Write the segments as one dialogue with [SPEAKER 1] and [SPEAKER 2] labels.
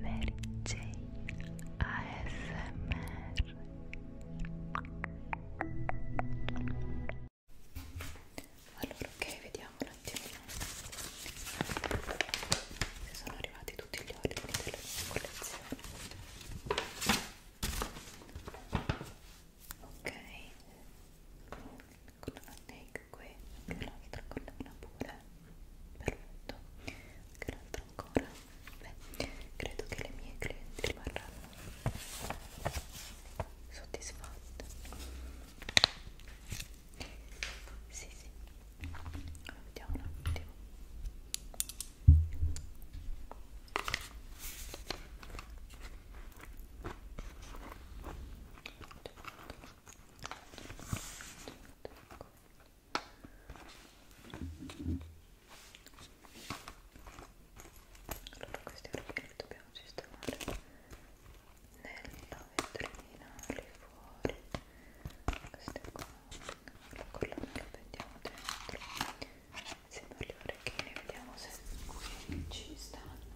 [SPEAKER 1] Mary Jane ASMR Allora ok vediamo un attimino se sono arrivati tutti gli ordini della mia collezione Ok con la link qui anche l'altra collana pure perfetto anche l'altra ancora beh credo che le mie clienti rimarranno soddisfatte sì sì allora, vediamo un attimo ok allora questi orchi li dobbiamo sistemare nella vetrina lì fuori queste qua la collana la mettiamo dentro insieme agli orecchini vediamo se qui ci stanno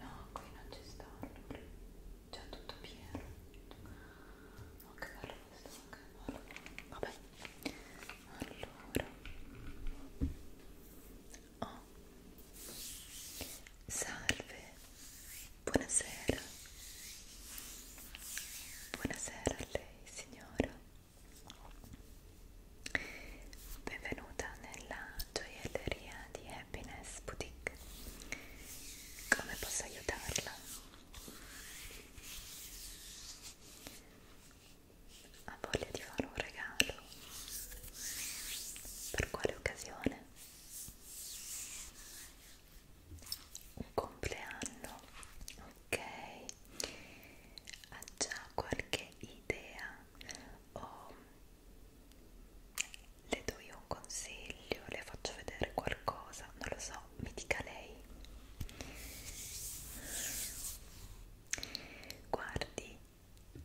[SPEAKER 1] no qui non ci stanno già tutto pieno no che bello questo che bello vabbè allora oh. salve buonasera buonasera a lei signora benvenuta nella gioielleria di Happiness Boutique Pink. Come posso aiutarla? Ha voglia di fare un regalo? Per quale occasione? Un compleanno? Ok. Ha già qualche idea o le do io un consiglio, le faccio vedere qualcosa, non lo so, mi dica lei. Guardi,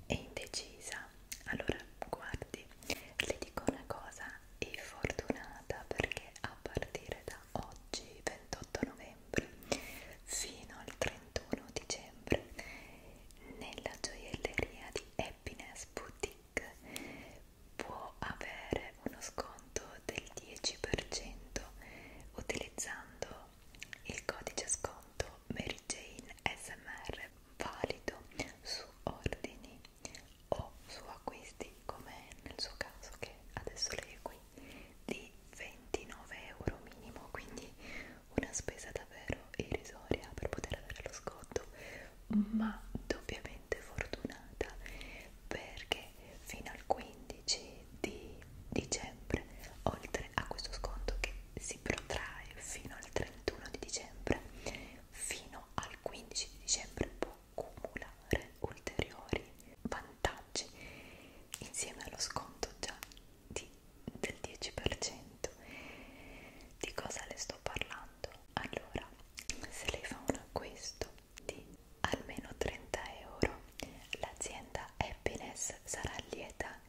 [SPEAKER 1] è indecisa. Allora, guardi, le dico una cosa, è fortunata perché a partire da oggi, 28 novembre, fino al 31 dicembre, nella gioielleria di Happiness Boutique Click può avere uno sconto del 10% utilizzando il codice sconto Mary Jane SMR valido su ordini o su acquisti come nel suo caso che adesso lei è qui di 29 euro minimo quindi una spesa davvero irrisoria per poter avere lo sconto ma doppiamente fortunata perché fino al 15 di dicembre, oltre a questo sconto che si protrae fino al 31 di dicembre, fino al 15 di dicembre può cumulare ulteriori vantaggi insieme allo sconto già di, del 10%. Di cosa le sto parlando? fatto allora se lei fa un acquisto di almeno 30 euro l'azienda happiness sarà lieta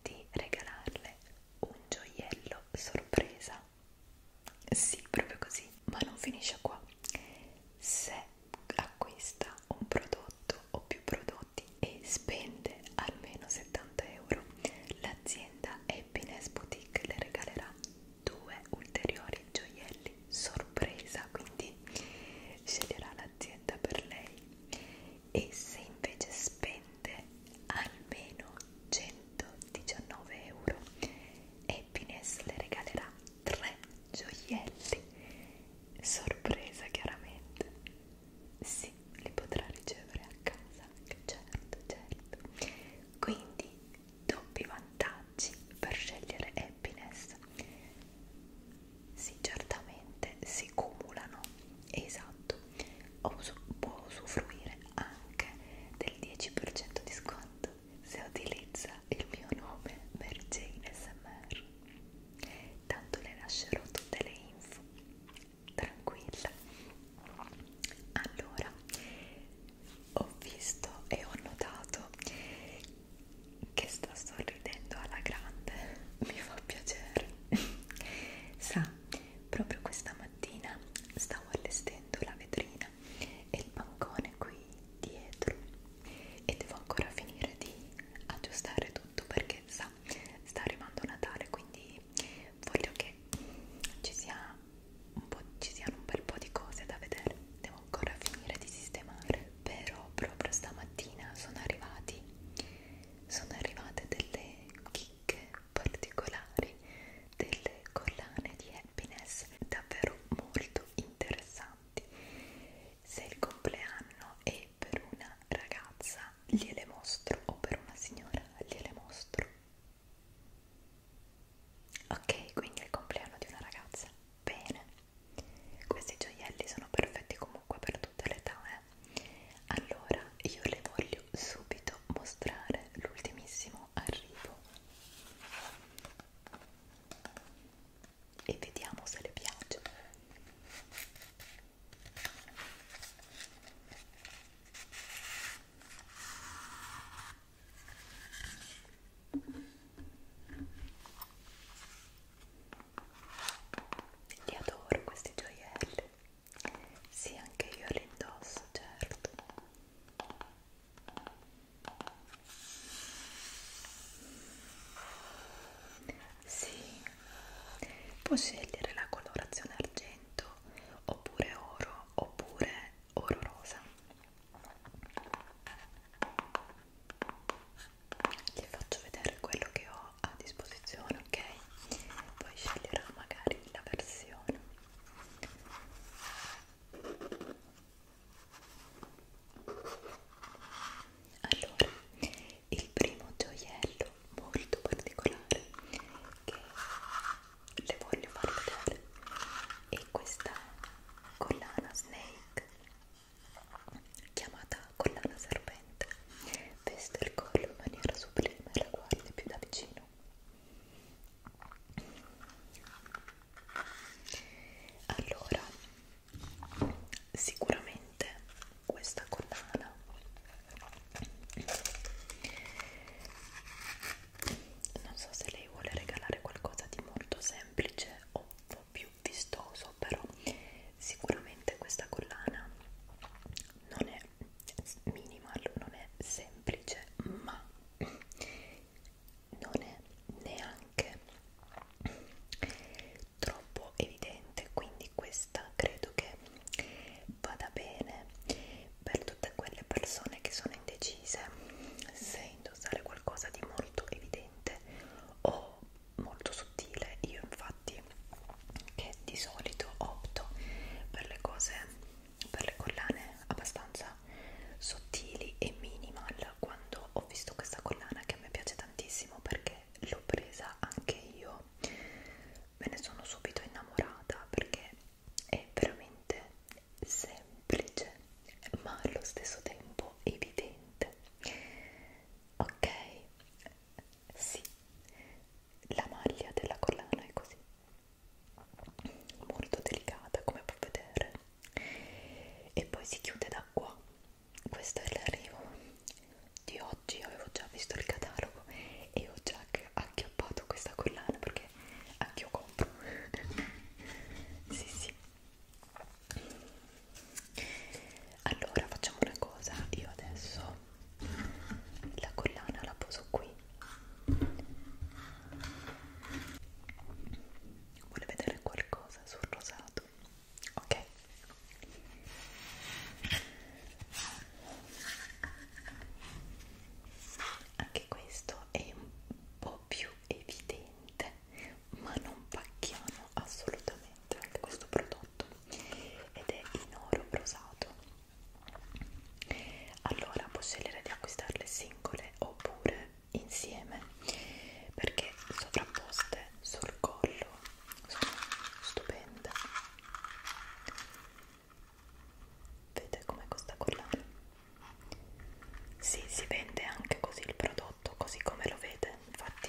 [SPEAKER 1] di regalarle un gioiello sorpresa sì proprio così ma non finisce qua se acquista un prodotto o più prodotti e spende almeno 70 euro l'azienda happiness boutique le regalerà due ulteriori gioielli sorpresa quindi sceglierà l'azienda per lei e se invece spende almeno 119 euro Happiness le regalerà tre gioielli sorpresa chiaramente sì li potrà ricevere a casa certo certo quindi doppi vantaggi per scegliere happiness. Sì, certamente si cumulano, esatto, Uso, può usufruire anche del 10% di sconto se utilizza il mio nome Mary Jane SMR. Tanto le lascerò tutte le info, tranquilla, allora ho visto e ho notato che sta sorridendo alla grande mi fa piacere sa proprio questa mattina stavo allestendo la vetrina e il bancone qui dietro e devo ancora finire di aggiustare tutto perché sa sta arrivando Natale quindi voglio che ci sia un po', ci siano un bel po' di cose da vedere devo ancora finire di sistemare però proprio stamattina sono arrivati sono arrivate delle chicche particolari delle collane di happiness davvero molto interessanti se il compleanno è per una ragazza gliele mostro o per una signora gliele mostro Ok, quindi è il compleanno di una ragazza. Bene, questi gioielli sono perfetti comunque per tutte le età. Eh? Allora, io le voglio subito mostrare l'ultimissimo arrivo e vediamo se le piace. Li adoro questi gioielli. Sì, anche io li indosso, certo. Sì, può scegliere la colorazione argento oppure oro oppure orrorosa ti faccio vedere quello che ho a disposizione ok poi sceglierò magari la versione allora il primo gioiello molto particolare che le voglio far vedere e questa collana snake chiamata collana serpente veste il collo in maniera sublime e la guardi più da vicino allora sicuramente questa collana non so se lei vuole regalare qualcosa di molto semplice o un po' più vistoso però sicuramente questa collana non è minimal non è semplice ma non è neanche troppo evidente quindi questa credo che vada bene per tutte quelle persone che sono indecise se indossare qualcosa di molto evidente o molto sottile io infatti che di solito opto per le cose per le collane abbastanza sottili e minimal quando ho visto questa collana che a me piace tantissimo perché l'ho presa anche io me ne sono subito innamorata perché è veramente semplice ma allo stesso tempo evidente ok sì la maglia della collana è così molto delicata come puoi vedere e poi si chiude da qua questo è l'arrivo di oggi avevo già visto il catalogo e ho già acchiappato questa collana perché anch'io compro sì sì allora facciamo una cosa io adesso la collana la poso qui vuole vedere qualcosa sul rosato ok anche questo è un po' po' più evidente ma non pacchiano assolutamente anche questo prodotto ed è in oro rosato allora puoi scegliere di acquistarle singole oppure insieme perché sovrapposte sul collo sono stupende vedete com'è questa collana sì, si vende anche così il prodotto, così come lo vede, infatti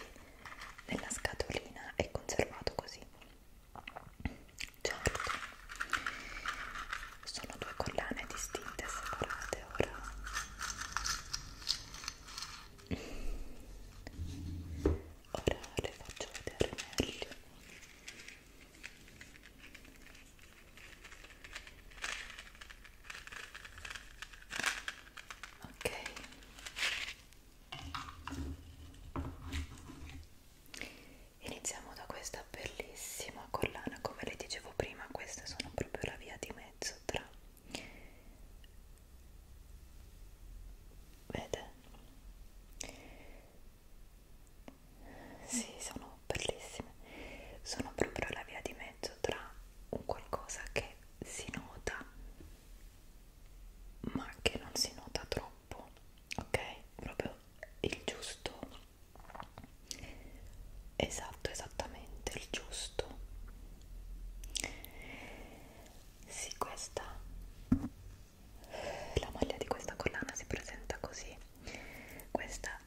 [SPEAKER 1] nella scatolina è conservato così. Certo, sono due collane distinte e separate ora. Ora le faccio vedere meglio ok iniziamo da questa bellissima collana come le dicevo prima queste sono proprio la via di mezzo tra vede sì, sono sono bellissime sono proprio la via di mezzo tra un qualcosa che si nota ma che non si nota troppo ok proprio il giusto esatto esattamente il giusto sì questa la maglia di questa collana si presenta così questa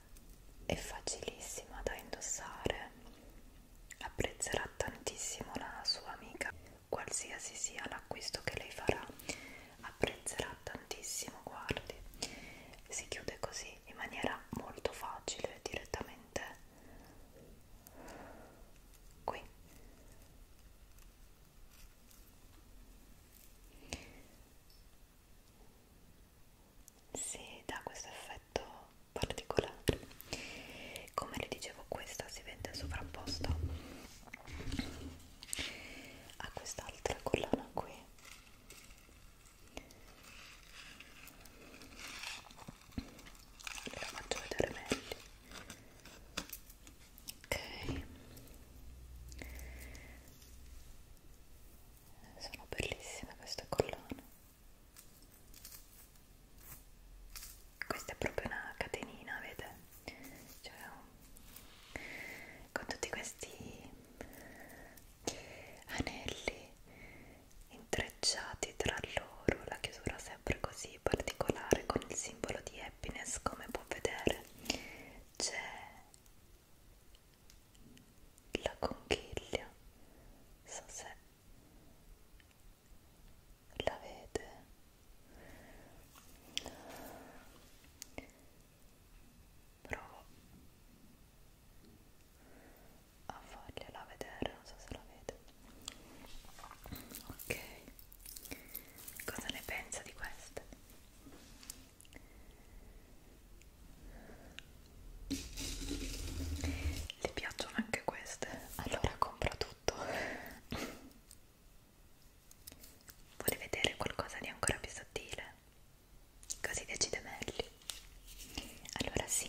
[SPEAKER 1] è facilissima da indossare apprezzerà tantissimo la sua amica qualsiasi sia l'acquisto che lei farà apprezzerà tantissimo guardi si chiude così in maniera molto facile direttamente qui si dà questo effetto particolare come vi dicevo questa si vende sovrapposta a quest'altra collana qui ve la faccio vedere meglio ok sono bellissime queste collane questa è proprio una catenina vede cioè, con tutti questi anelli intrecciati tra loro la chiusura sempre così particolare con il simbolo di happiness come può vedere c'è la conchiglia so se la vede provo a fargliela vedere non so se la vede ok cosa ne pensa di queste le piacciono anche queste? Allora compra tutto. Vuole vedere qualcosa di ancora più sottile? Così decide meglio. Allora sì,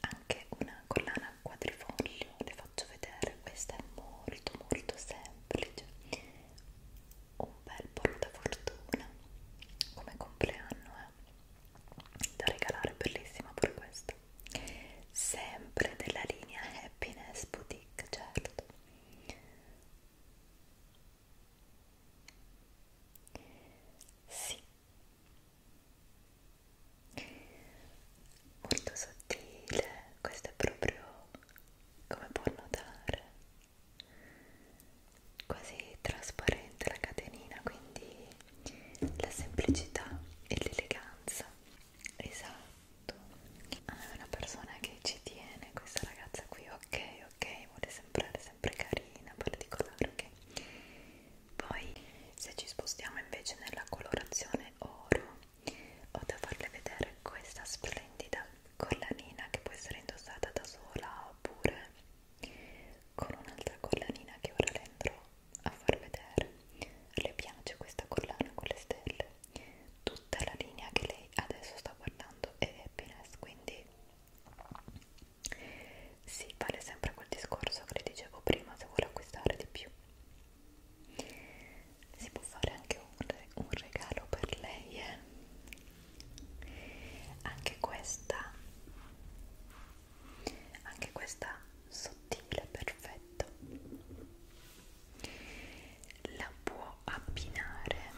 [SPEAKER 1] anche una collana quadrifoglio, le faccio vedere, questa è molto molto semplice un bel portafortuna come compleanno eh? da regalare, bellissima pure questa sempre della linea Happiness Boutique, certo sì molto sottile, questo è proprio come può notare quasi trasparente la catenina quindi la semplicità e l'eleganza esatto ah, è una persona che ci tiene questa ragazza qui ok ok vuole sembrare sempre carina particolare ok poi se ci spostiamo invece nella colorazione oro ho da farle vedere questa splendida collanina che può essere indossata da sola oppure con un'altra collanina che ora le andrò a far vedere le piace questa collana con le stelle tutta la linea che lei adesso sta guardando è happiness quindi si sì, vale sempre quel discorso che le dicevo prima se vuole acquistare di più si può fare anche un, re un regalo per lei eh? anche questa anche questa sottile perfetto la può abbinare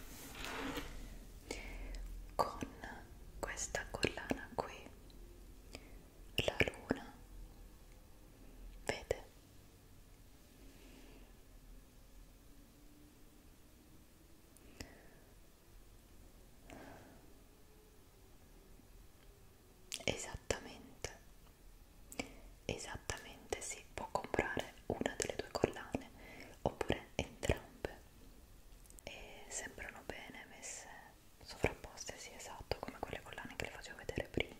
[SPEAKER 1] con questa collana qui la luna vede Esattamente, esattamente si può comprare una delle due collane oppure entrambe e sembrano bene messe sovrapposte, sì esatto, come quelle collane che le facevo vedere prima.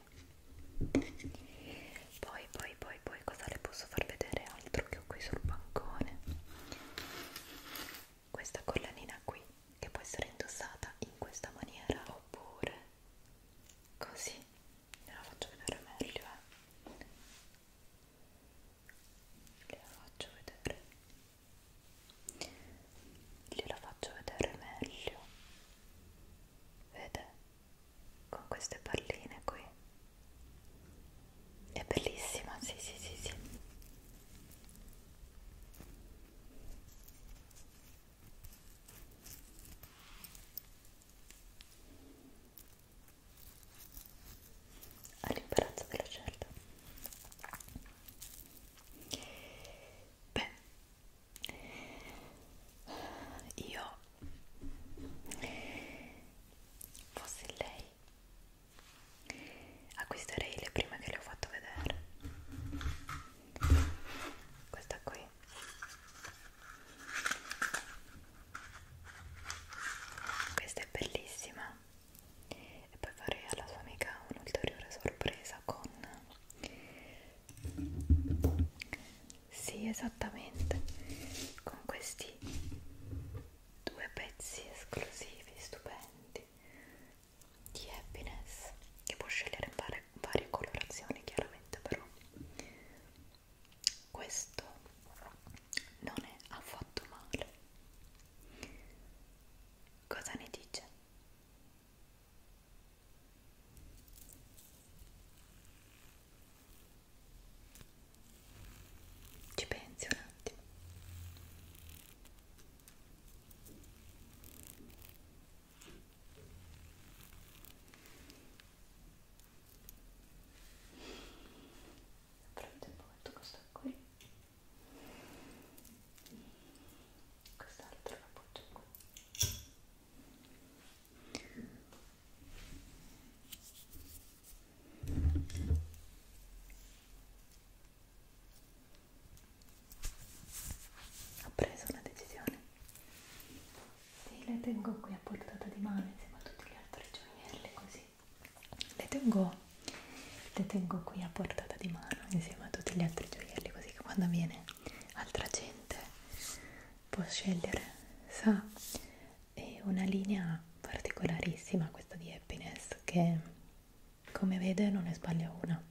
[SPEAKER 1] Poi, poi, poi, poi cosa le posso far vedere altro che ho qui sul bancone questa collanina qui che può essere indossata in questa maniera oppure così ve la faccio vedere meglio eh. gliela faccio vedere gliela faccio vedere meglio vede con queste palline qui è bellissima, sì, sì, sì, sì. All'imbarazzo della scelta. Beh, io fossi lei acquisterei le prime che le ho fatto vedere questa qui questa è bellissima e poi farei alla sua amica un'ulteriore sorpresa con sì esattamente con questi due pezzi esclusivi, stupendi di happiness che può scegliere in varie, varie colorazioni chiaramente però questo non è affatto male cosa ne dice? Ci pensi un attimo. Prendo un po' questo qui. Quest'altro lo appoggio qui. Ho preso una decisione. Sì, le tengo qui a portata di mano insieme a tutti gli altri gioielli, così. Le tengo, le tengo qui a portata di mano insieme a tutti gli altri gioielli, così che quando viene altra gente può scegliere. Sa, è una linea particolarissima questa di Happiness che come vede non ne sbaglia una.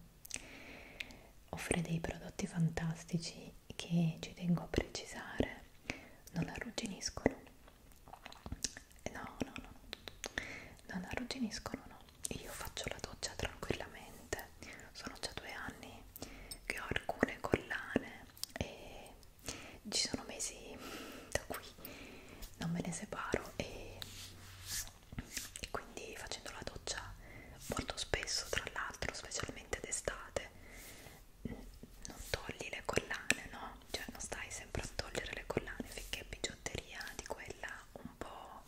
[SPEAKER 1] Offre dei prodotti fantastici che ci tengo a precisare, non arrugginiscono. No, no, no, non arrugginiscono, no. Io faccio la doccia tranquillamente. Sono già due anni che ho alcune collane e ci sono mesi da qui non me ne separo e, e quindi facendo la doccia molto spesso tra l'altro specialmente d'estate non togli le collane no? cioè non stai sempre a togliere le collane finché bigiotteria di quella un po'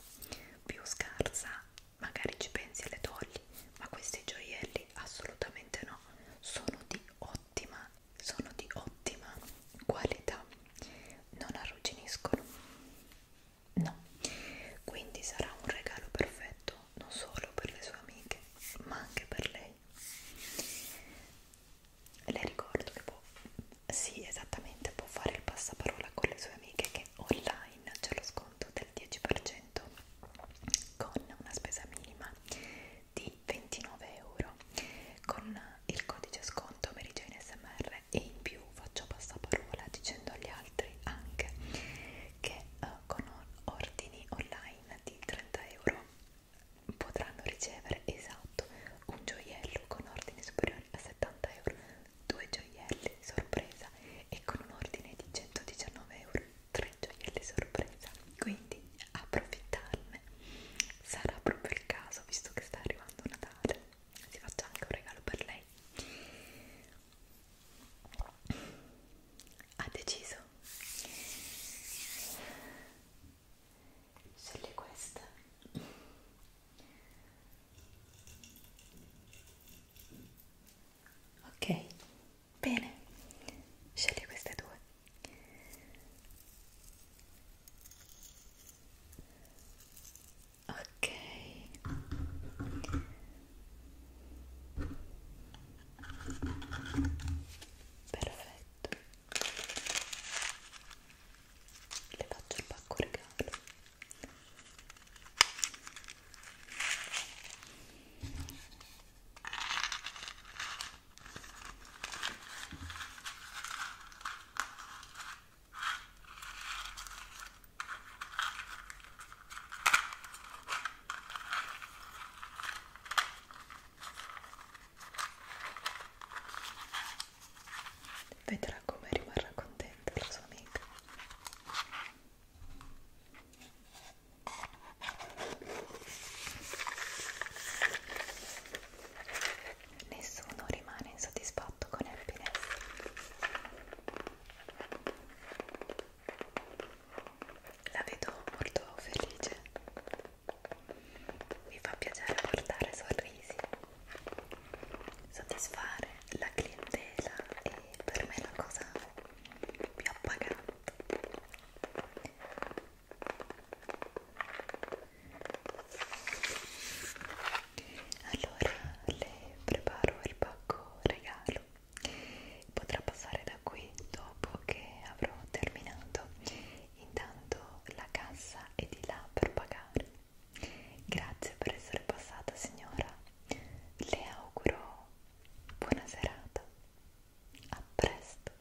[SPEAKER 1] più scarsa magari ci pensi e le togli ma questi gioielli assolutamente no sono di ottima sono di ottima qualità non arrugginiscono no quindi sarà un regalo perfetto non solo per le sue amiche ma anche per lei le ricordo che può sì esattamente può fare il passaparola con le sue amiche che online c'è lo sconto del 10% con una spesa minima di di 29 euro con il codice sconto Meridione SMR e in più faccio passaparola dicendo agli altri anche che uh, con ordini online di 30 euro potranno ricevere esatto un gioiello con ordini superiori a 70 euro, due gioielli sorpresa e con un ordine di 119 euro, tre gioielli sorpresa. Quindi approfittarne me sarà proprio il caso visto che sta arrivando Natale si faccia anche un regalo per lei ha deciso sceglie questa ok bene sceglie queste due ok perfetto le faccio il pacco regalo Vedrà come rimarrà contenta la sua amica nessuno rimane insoddisfatto con happiness la vedo molto felice mi fa piacere portare sorrisi soddisfare la clientela è per me la cosa più appagante allora le preparo il pacco regalo potrà passare da qui dopo che avrò terminato intanto la cassa è di là per pagare grazie per essere passata signora le auguro buona serata a presto